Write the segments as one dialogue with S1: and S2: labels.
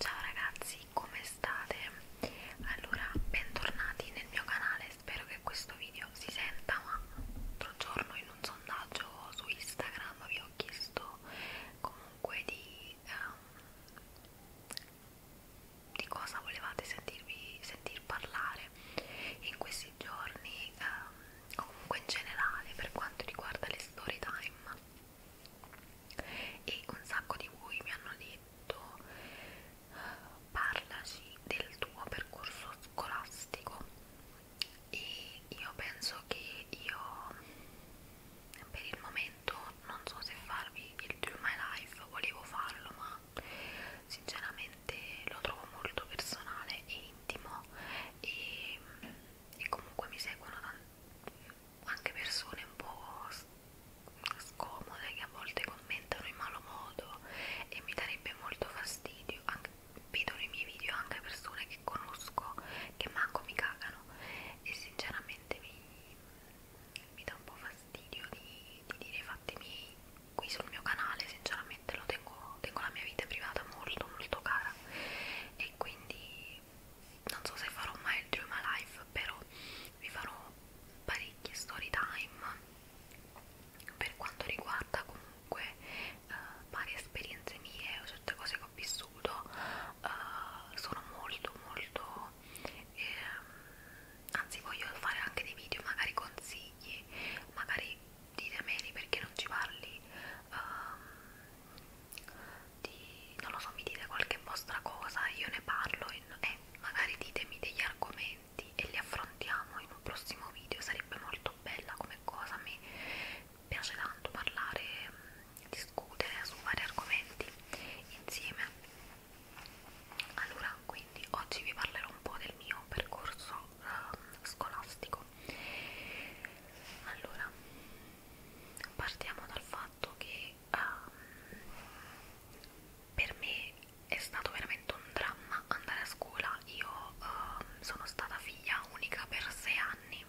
S1: Ciao ragazzi, come state? Allora, bentornati nel mio canale, spero che questo video si senta, ma l'altro giorno in un sondaggio su Instagram vi ho chiesto comunque di, um, di cosa volevate sentirvi sentir parlare in questi giorni, um, comunque in generale per quanto riguarda le story time e un sacco di voi mi hanno detto parlaci del tuo percorso scolastico e io penso che io per il momento non so se farvi il True My Life volevo farlo ma sinceramente lo trovo molto personale e intimo e, e comunque mi seguono tantissimi anche persone un po' scomode che a volte commentano in malo modo e mi darebbe molto fastidio anche, vedo nei miei video anche persone che conosco che manco mi cagano e sinceramente mi, mi dà un po' fastidio di, di dire i fatti miei qui sul mio canale sinceramente lo tengo, tengo la mia vita privata molto molto cara e quindi non so se farò mai il Dream Alive però vi farò parecchie story time per quanto riguarda comunque eh, varie esperienze mie o certe cose che ho vissuto eh, sono molto molto eh, anzi voglio fare anche dei video magari consigli magari ditemeli perché non ci parli eh, di, non lo so, mi dite qualche vostra cosa, io ne parlo e eh, magari ditemi degli argomenti e li affrontiamo in un prossimo video, sarebbe molto bella come cosa, mi piace tanto parlare, mm, discutere su vari argomenti insieme. Allora, quindi oggi vi parlerò un po' del mio percorso eh, scolastico. Allora, partiamo dal fatto che um, per me è stato veramente un dramma andare a scuola. Io um, sono stata figlia unica per sei anni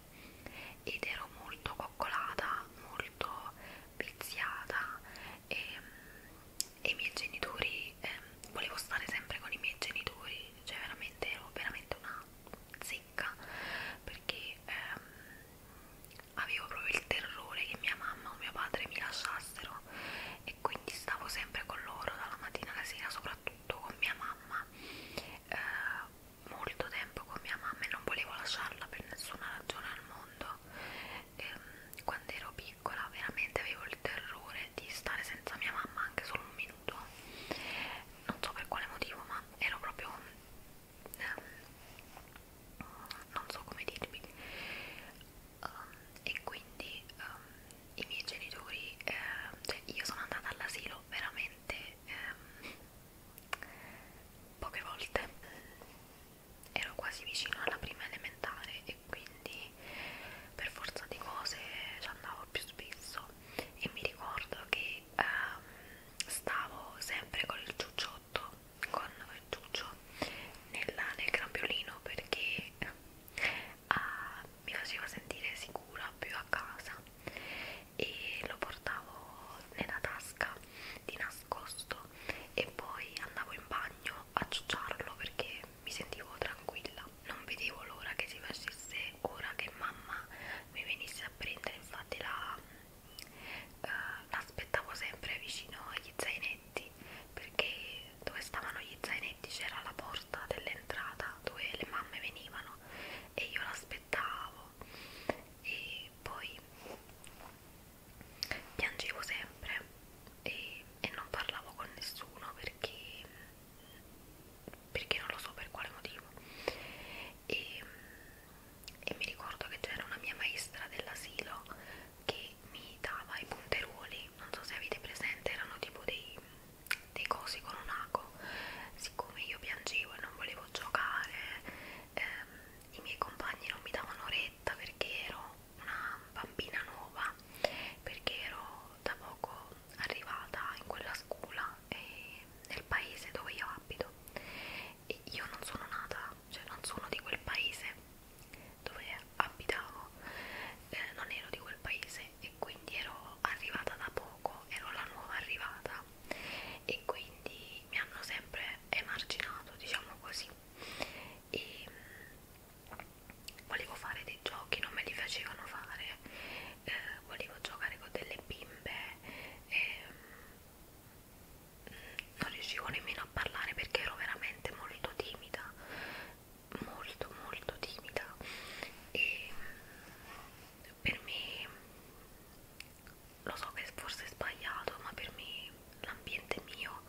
S1: ed ero molto coccolata, molto viziata e, ehm, e i miei genitori, eh, volevo stare sempre con i miei genitori, cioè veramente ero veramente una zecca secca perché ehm, avevo proprio il terrore che mia mamma o mio padre mi lasciassero e quindi stavo sempre con loro dalla mattina alla sera soprattutto con mia mamma eh, molto tempo con mia mamma e non volevo lasciarla per nessuna ragione al mondo eh, quando ero piccola veramente avevo il terrore di stare senza mia mamma anche solo un minuto non so per quale motivo ma ero proprio um, non so come dirvi um, ehm, e quindi um, i miei genitori um, cioè io sono andata all'asilo veramente um, poche volte ero quasi vicino alla prima elementare e quindi per forza di cose ci andavo più spesso e mi ricordo che ehm, stavo sempre con il ciucciotto, con il ciuccio nella, nel grambiolino perché eh, mi faceva sentire sicura più a casa e lo portavo nella tasca di nascosto e poi andavo in bagno a ciucciarlo perché mi sentivo tranquilla non vedevo l'ora che si facesse ora che mamma mi venisse a prendere infatti la eh, l'aspettavo sempre vicino agli zainetti perché dove stavano gli zainetti c'era la porta dell'entrata dove le mamme venivano e io l'aspettavo e poi piangevo sempre e, e non parlavo con nessuno perché perché non lo so per quale motivo e, e mi ricordo che c'era una mia maestra dell'asilo che mi dava i punteruoli, non so se avete presente, erano tipo dei, dei cosi con un ago, siccome io piangevo e non volevo giocare, ehm, i miei compagni non mi davano retta perché ero una bambina nuova, perché ero da poco arrivata in quella scuola e nel paese dove io abito e io non sono nata, cioè non sono di quel paese dove abitavo, eh, non ero di quel paese e quindi ero arrivata da poco, ero la nuova arrivata e quindi mi hanno sempre emarginato, diciamo così. E mm, volevo fare dei giochi, non me li facevano fare, eh, volevo giocare con delle bimbe. Eh, non riuscivo nemmeno a parlare perché ero veramente molto timida molto molto timida e mm, per me lo so che forse è sbagliato ma per me l'ambiente mio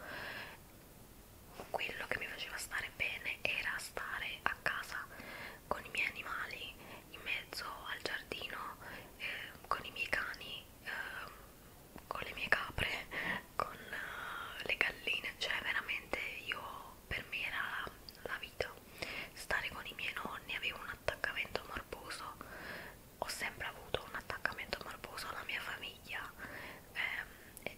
S1: quello che mi faceva stare bene era stare a casa con i miei animali in mezzo al giardino eh, con i miei cani, eh, con le mie capre, con eh, le galline, cioè veramente io per me era la, la vita. Stare con i miei nonni avevo un attaccamento morboso, ho sempre avuto un attaccamento morboso alla mia famiglia, eh,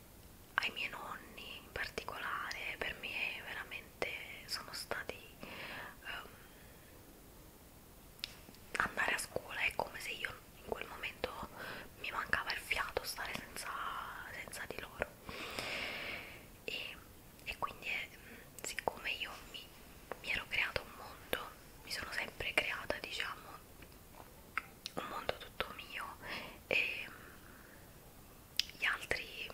S1: ai miei nonni in particolare, per me veramente sono stati... Um, andare a scuola è come se io in quel momento mi mancava il fiato stare senza, senza di loro e, e quindi eh, siccome io mi, mi ero creato un mondo mi sono sempre creata diciamo un mondo tutto mio e mm, gli altri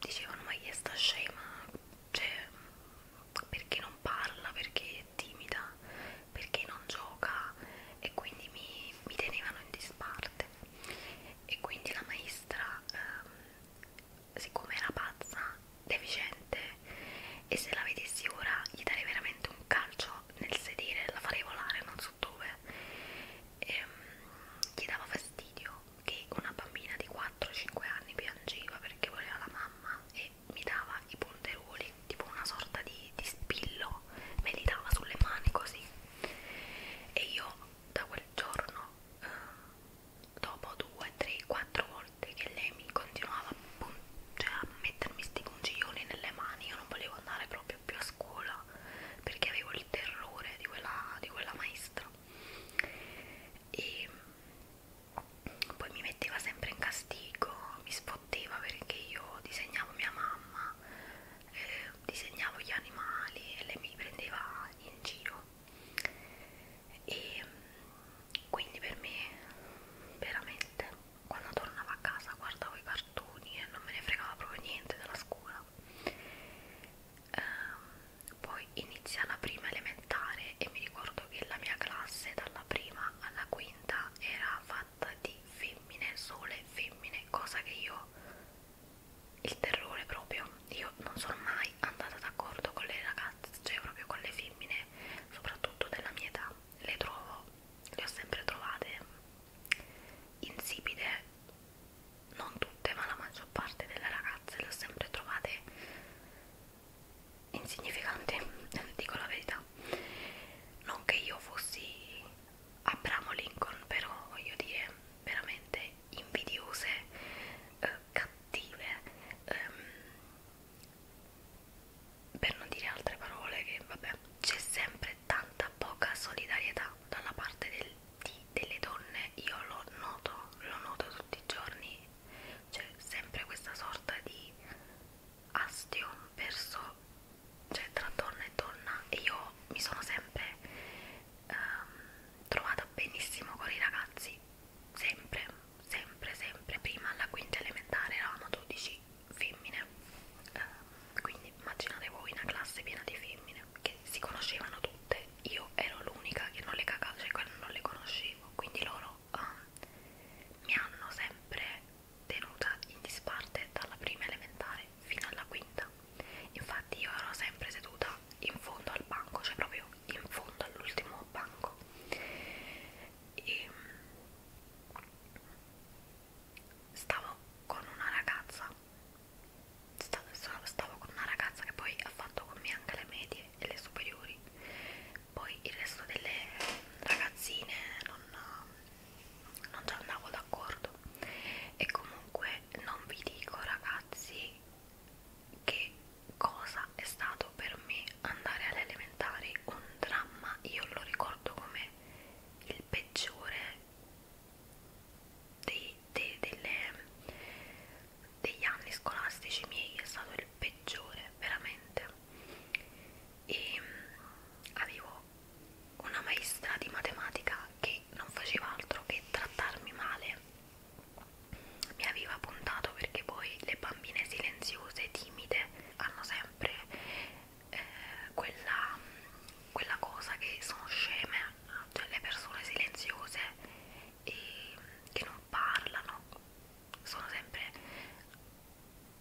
S1: dicevano ma chi è sta scema, cioè perché non parla, perché è timida, perché non gioca e quindi mi, mi tenevano in disparte e quindi la maestra ehm, siccome era pazza, deficiente e se la vedessi ora gli darei veramente un calcio nel sedere, la farei volare non so dove e, ehm, gli dava fastidio che una bambina di 4-5 anni piangeva perché voleva la mamma e mi dava i punteroli, tipo una sorta di, di spillo, me li dava sulle mani così e io da quel giorno, eh, dopo 2, 3, 4 volte che lei mi continuava a, cioè, a mettermi sti pungiglioni nelle mani, io non volevo andare proprio più a scuola perché avevo il terrore di quella, di quella maestra e poi mi metteva sempre in castigo, mi sfotteva perché io disegnavo mia mamma, eh, disegnavo gli animali e lei mi prendeva in giro e mm, quindi per me veramente quando tornavo a casa guardavo i cartoni e non me ne fregava proprio niente della scuola. Um, poi inizia la prima elementare e mi ricordo che la mia classe dalla prima alla quinta era fatta di femmine, sole femmine, cosa che io il terrore proprio, io non sono mai andata d'accordo con le ragazze, cioè proprio con le femmine, soprattutto della mia età, le trovo, le ho sempre trovate insipide, non tutte ma la maggior parte delle ragazze le ho sempre trovate insignificante, dico la verità. Non che io fossi Abramo Lincoln, però voglio dire veramente invidiose, eh, cattive, ehm, per non dire altre parole che vabbè, c'è sempre tanta poca solidarietà dalla parte del, di, delle donne, io lo noto, lo noto tutti i giorni c'è sempre questa sorta di astion verso cioè tra donna e donna e io mi sono sempre ehm, trovata benissimo con i ragazzi sempre sempre sempre prima alla quinta elementare eravamo 12 femmine eh, quindi immaginate voi una classe piena di femmine che si conoscevano tutte io ero l'unica che non le cagava, cioè quelle non le conoscevo, quindi loro um, mi hanno sempre tenuta in disparte dalla prima elementare fino alla quinta. Infatti io ero sempre seduta in fondo al banco, cioè proprio in fondo all'ultimo banco. E mm, stavo con una ragazza stavo con una ragazza che poi ha fatto con me anche le medie e le superiori poi il resto delle ragazzine non, non ci andavo d'accordo e comunque non vi dico ragazzi che cosa è stato per me andare alle elementari un dramma io lo ricordo come il peggiore dei, dei, delle degli anni scolastici miei è stato il peggiore veramente e mm, avevo una maestra di matematica che non faceva altro che trattarmi male mi aveva puntato perché poi le bambine silenziose, timide hanno sempre eh, quella, quella cosa che sono sceme cioè le persone silenziose e che non parlano sono sempre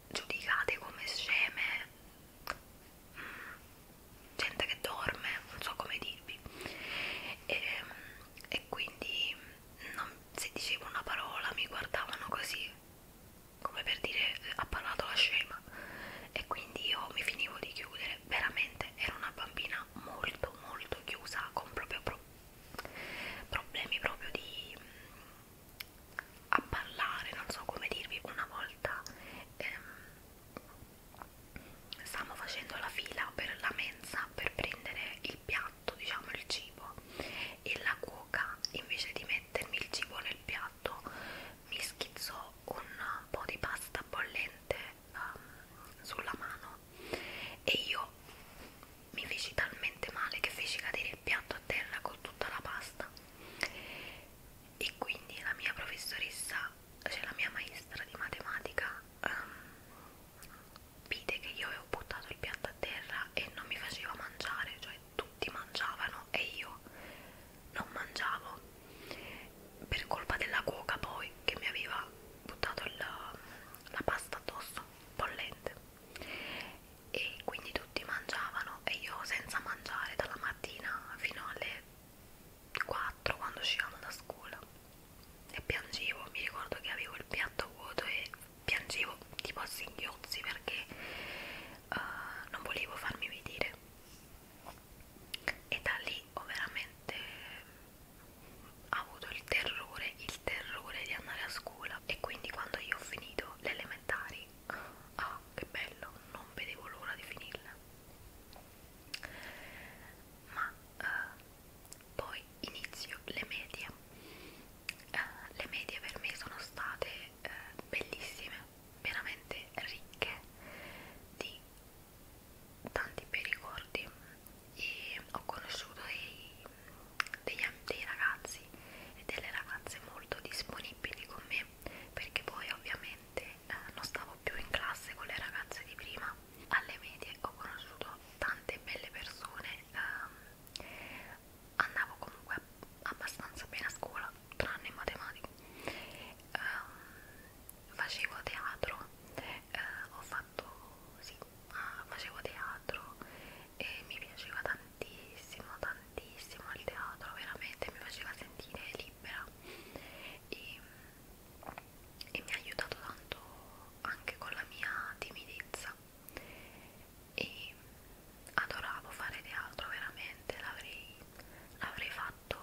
S1: giudicate come sceme mm, gente che dorme non so come dirvi e, ehm, e quindi non, se dicevo una parola mi guardavano così come per dire ha parlato la scema e quindi io mi finivo di chiudere veramente ero una bambina molto molto chiusa con proprio pro problemi proprio di mh, a parlare, non so come dirvi. Una volta ehm, stavamo facendo la fila per la mensa per prendere il piatto, diciamo il cibo, e la cuoca invece di mettermi il cibo nel piatto mi schizzò un po' di pasta bollente um, sulla mano qua e io mi feci talmente male che feci cadere il piatto a terra con tutta la pasta e quindi la mia professoressa cioè la mia maestra di matematica um, vide che io avevo buttato il piatto a terra e non mi faceva mangiare cioè tutti mangiavano e io non mangiavo per colpa della cuoca poi che mi aveva buttato il, la pasta addosso bollente e quindi tutti mangiavano e io senza mangiare dalla mattina fino alle 4 quando uscivamo da scuola e piangevo, mi ricordo che avevo il piatto vuoto e piangevo tipo a singhiozzi perché uh, non volevo farmi vedere e da lì ho veramente ha avuto il terrore, il terrore di andare a scuola e quindi quando io ho finito le elementari, ah che bello, non vedevo l'ora di finirla. Ma eh, poi inizio le medie. Eh, le medie per me sono state eh, bellissime, veramente ricche di tanti bei ricordi e ho conosciuto dei, dei, dei ragazzi e delle ragazze molto disponibili con me perché poi ovviamente eh, non stavo più in classe con le ragazze di prima alle medie ho conosciuto tante belle persone eh, andavo comunque abbastanza bene a scuola tranne in matematica eh, facevo teatro eh, ho fatto sì, ah, facevo teatro e mi piaceva tantissimo, tantissimo il teatro, veramente mi faceva sentire libera e, e mi ha aiutato tanto anche con la mia timidezza e adoravo fare teatro veramente l'avrei fatto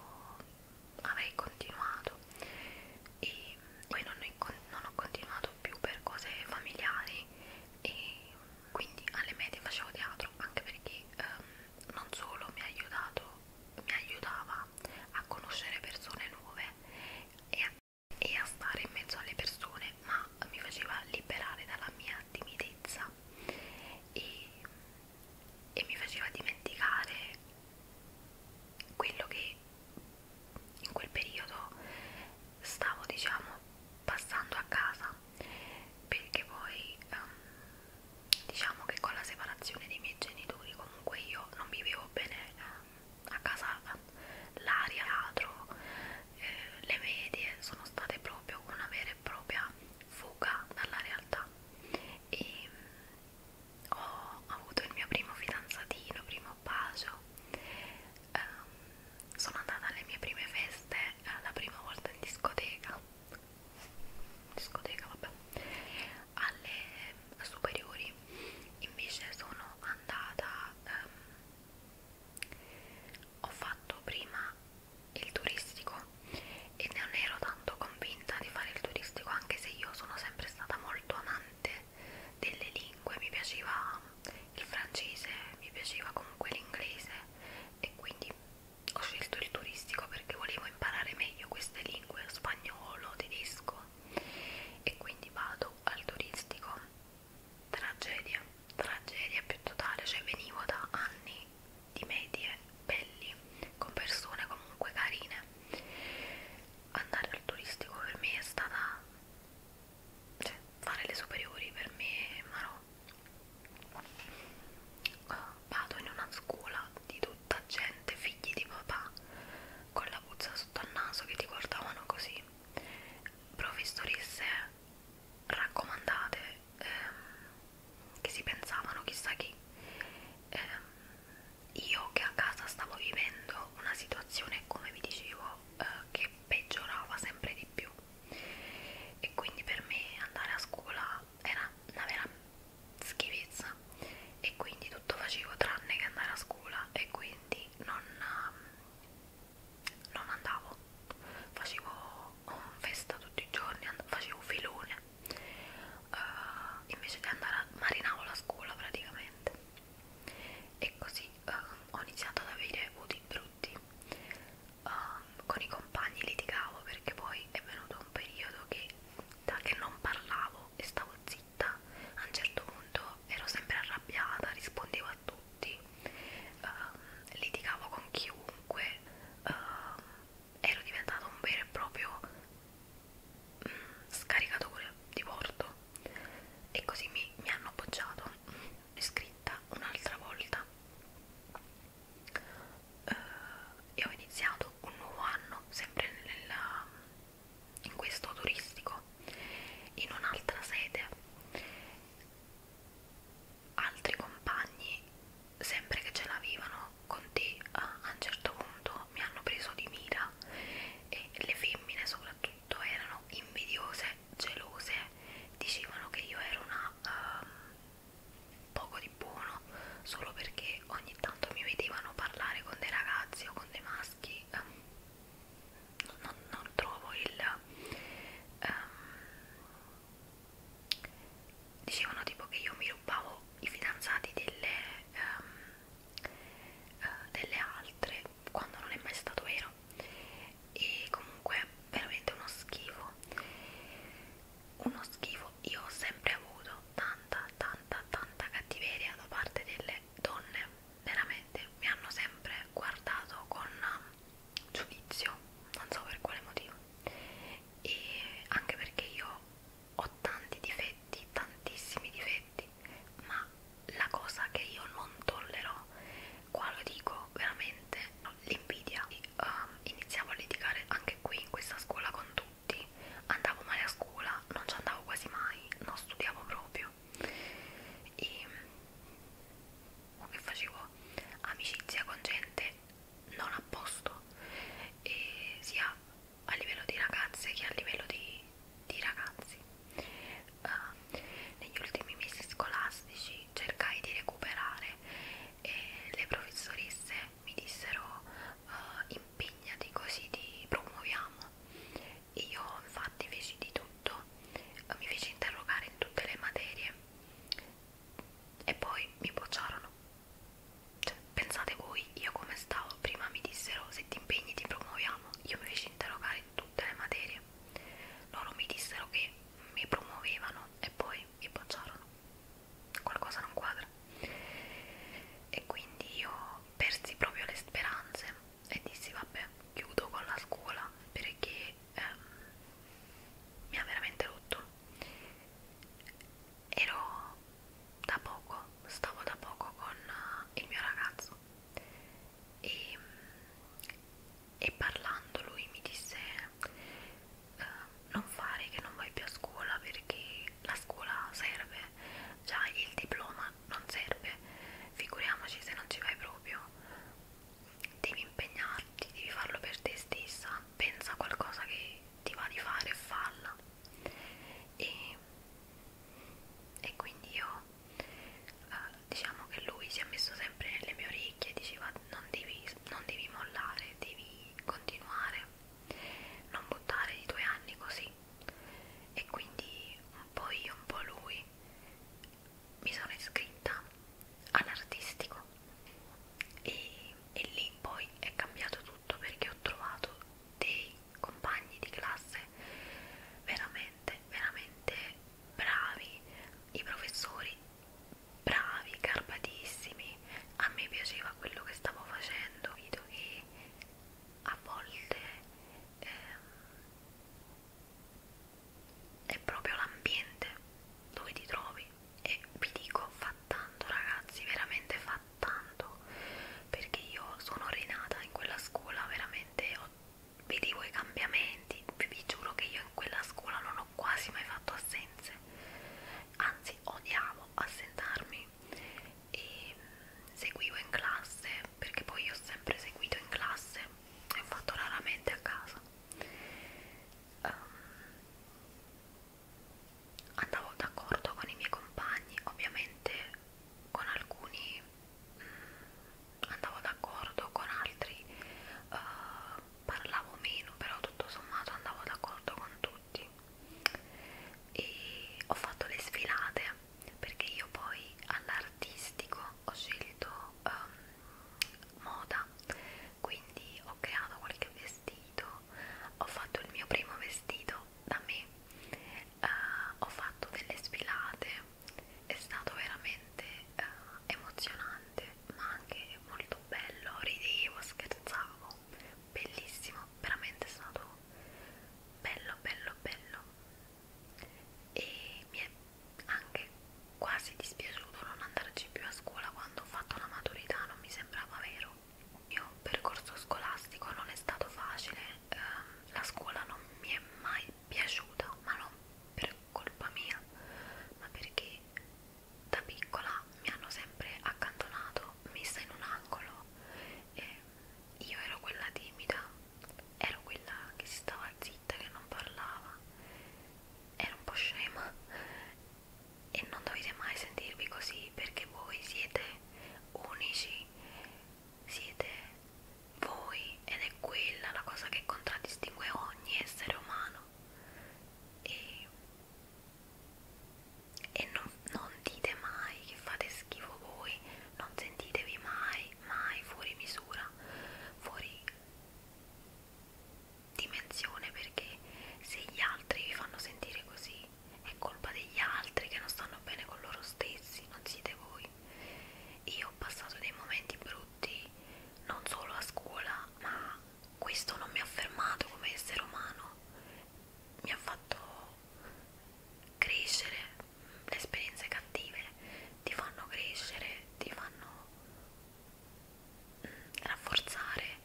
S1: avrei continuato e poi non ho, non ho continuato più per cose familiari e quindi alle medie facevo teatro anche perché um, non solo mi ha aiutato mi aiutava a conoscere persone nuove e a, e a stare in mezzo alle persone ma mi faceva liberare dalla mia timidezza e, e mi faceva dimenticare quello che in quel periodo stavo diciamo passando a casa perché poi um, diciamo che con la separazione dei miei genitori comunque io non vivevo bene um, a casa l'aria, l'atro, eh, le medie sono state proprio una vera e propria fuga dalla realtà e um, ho avuto il mio primo fidanzatino, primo bacio um, sono andata alle mie prime feste eh, la prima volta in discoteca discoteca vabbè alle superiori invece sono andata um, ho fatto prima il turistico e non ero tanto convinta di fare il turistico anche se io sono sempre stata molto amante delle lingue, mi piaceva il francese, mi piaceva comunque l'inglese e quindi ho scelto il turistico perché volevo imparare meglio queste lingue, spagnolo, tedesco e quindi vado al turistico, tragedia, tragedia più totale, cioè venivo da anni di medie belli con persone comunque carine andare al turistico per me è stata cioè, fare le superiori per me, ma no. Uh, vado in una scuola di tutta gente, figli di papà, con la puzza sotto al naso che ti guardavano così. Professoresse raccomandate ehm, che si pensavano chissà chi. Ehm, io che a casa stavo vivendo una situazione come vi dicevo eh, che peggiorava sempre di più e quindi per me andare a scuola era una vera schifezza e quindi tutto facevo tranne che andare a scuola e quindi non, non andavo facevo festa tutti i giorni facevo filone uh, invece di andare a marinavo la scuola praticamente e così um, ho iniziato ad avere voti brutti um, con i compagni litigavo perché poi è venuto un periodo che da che non parlavo e stavo zitta a un certo punto ero sempre arrabbiata rispondevo a tutti um, litigavo con chiunque um, ero diventato un vero e proprio scaricato quello di porto e così mi, mi hanno appoggiato iscritta un'altra volta uh, eh, e ho iniziato un nuovo anno sempre nella, in questo turistico in un'altra sede altri compagni sempre che ce l'avevano con te eh, a un certo punto mi hanno preso di mira e le femmine soprattutto tutto erano invidiose, gelose, dicevano che io ero una um, poco di buono solo perché ogni tanto mi vedevano parlare con dei ragazzi o con dei maschi. Um, non, non trovo il... Um, dicevano tipo che io mi rubavo i fidanzati delle, um, eh, delle altre quando non è mai stato vero e comunque veramente uno schifo uno schifo io ho sempre avuto tanta tanta tanta cattiveria da parte delle donne veramente mi hanno sempre guardato con um, giudizio non so per quale motivo e anche perché io ho tanti difetti tantissimi difetti ma la cosa che io non tollerò, qua lo dico veramente, l'invidia. Um, iniziavo a litigare anche qui in questa scuola con tutti, andavo male a scuola, non ci andavo quasi mai, non studiavo proprio. E che facevo amicizia con gente non a posto, e sia a livello di ragazze che a livello di di ragazzi. Uh, negli ultimi mesi scolastici cercai di recuperare e le professoresse mi dissero uh, impegnati così ti promuoviamo. Io infatti feci di tutto, uh, mi feci interrogare in tutte le materie e poi mi bocciarono. Cioè, pensate voi, io come stavo prima mi dissero se ti impegni ti promuoviamo, io mi feci interrogare fare in tutte le materie loro mi dissero che mi promuovevano e poi mi bocciarono qualcosa non quadra e quindi io persi proprio le speranze e dissi vabbè chiudo con la scuola perché ehm, mi ha veramente rotto ero da poco stavo da poco con il mio ragazzo e, e parlando lui mi disse eh, non fare che non vai più a scuola perché la scuola serve, già il diploma non serve, figuriamoci se non ci vai proprio, devi impegnarti, devi farlo per te stessa, pensa a qualcosa che ti va di fare e falla. E, e quindi io eh, diciamo che lui si è messo sempre nelle mie orecchie e diceva non devi, non devi mollare, devi continuare, non buttare i tuoi anni così e quindi un po' io, un po' lui mi sono iscritta all'artistico e, e lì poi è cambiato tutto perché ho trovato dei compagni di classe veramente, veramente bravi, i professori bravi, garbatissimi. A me piaceva quello che stavo facendo, vedo che a volte eh, è proprio l'ambiente dove ti trovi e vi dico fa tanto ragazzi, veramente fa tanto perché io sono rinata in quella scuola, veramente ho vedevo i cambiamenti, vi giuro che io in quella scuola non ho quasi mai fatto assenze, anzi odiavo assentarmi e mm, seguivo in classe perché poi io ho sempre seguito in classe e ho fatto raramente a casa. Um, andavo d'accordo con i miei compagni, ovviamente con alcuni mh, mm, andavo d'accordo, con altri uh, parlavo meno, però tutto sommato andavo d'accordo con tutti e ho fatto le sfilate perché io poi all'artistico ho scelto um, moda quindi ho creato qualche vestito ho fatto il mio primo vestito da me eh, ho fatto delle sfilate è stato veramente eh, emozionante ma anche molto bello ridevo scherzavo bellissimo veramente è stato bello bello bello e mi è anche quasi dispiaciuto non andarci più a scuola quando ho fatto la maturità non mi sembrava vero il mio percorso scolastico non è stato facile ehm, la scuola non mi è mai piaciuta, ma non per colpa mia, ma perché da piccola mi hanno sempre accantonato, messa in un angolo. E io ero quella timida, ero quella che si stava zitta, che non parlava, ero un po' scema e non dovete mai sentirvi così perché voi siete unici siete voi ed è quella la cosa che contraddistingue ogni essere umano e, e non, non dite mai che fate schifo voi non sentitevi mai mai fuori misura fuori dimensione perché se gli altri vi fanno sentire così è colpa degli altri che non stanno bene con loro stessi non siete voi io ho passato dei momenti brutti non solo a scuola ma questo non mi ha fermato come essere umano mi ha fatto crescere le esperienze cattive ti fanno crescere ti fanno mm, rafforzare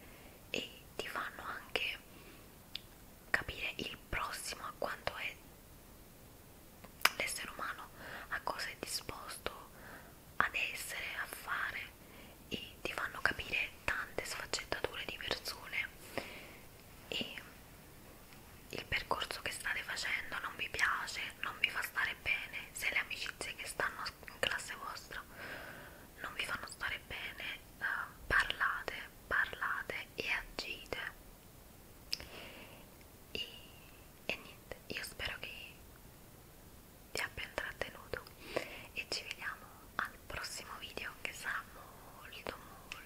S1: e ti fanno anche capire il prossimo a quanto è l'essere umano a cosa è disposto ad essere, a fare e ti fanno capire tante sfaccettature di persone e il percorso che state facendo non vi piace, non vi fa stare bene, se le amicizie che stanno in classe vostra non vi fanno stare bene, eh, parlate, parlate e agite e, e niente, io spero che ti abbia intrattenuto e ci vediamo al prossimo video che sarà molto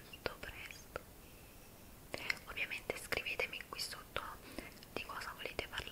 S1: molto presto ovviamente scrivetemi qui sotto di cosa volete parlare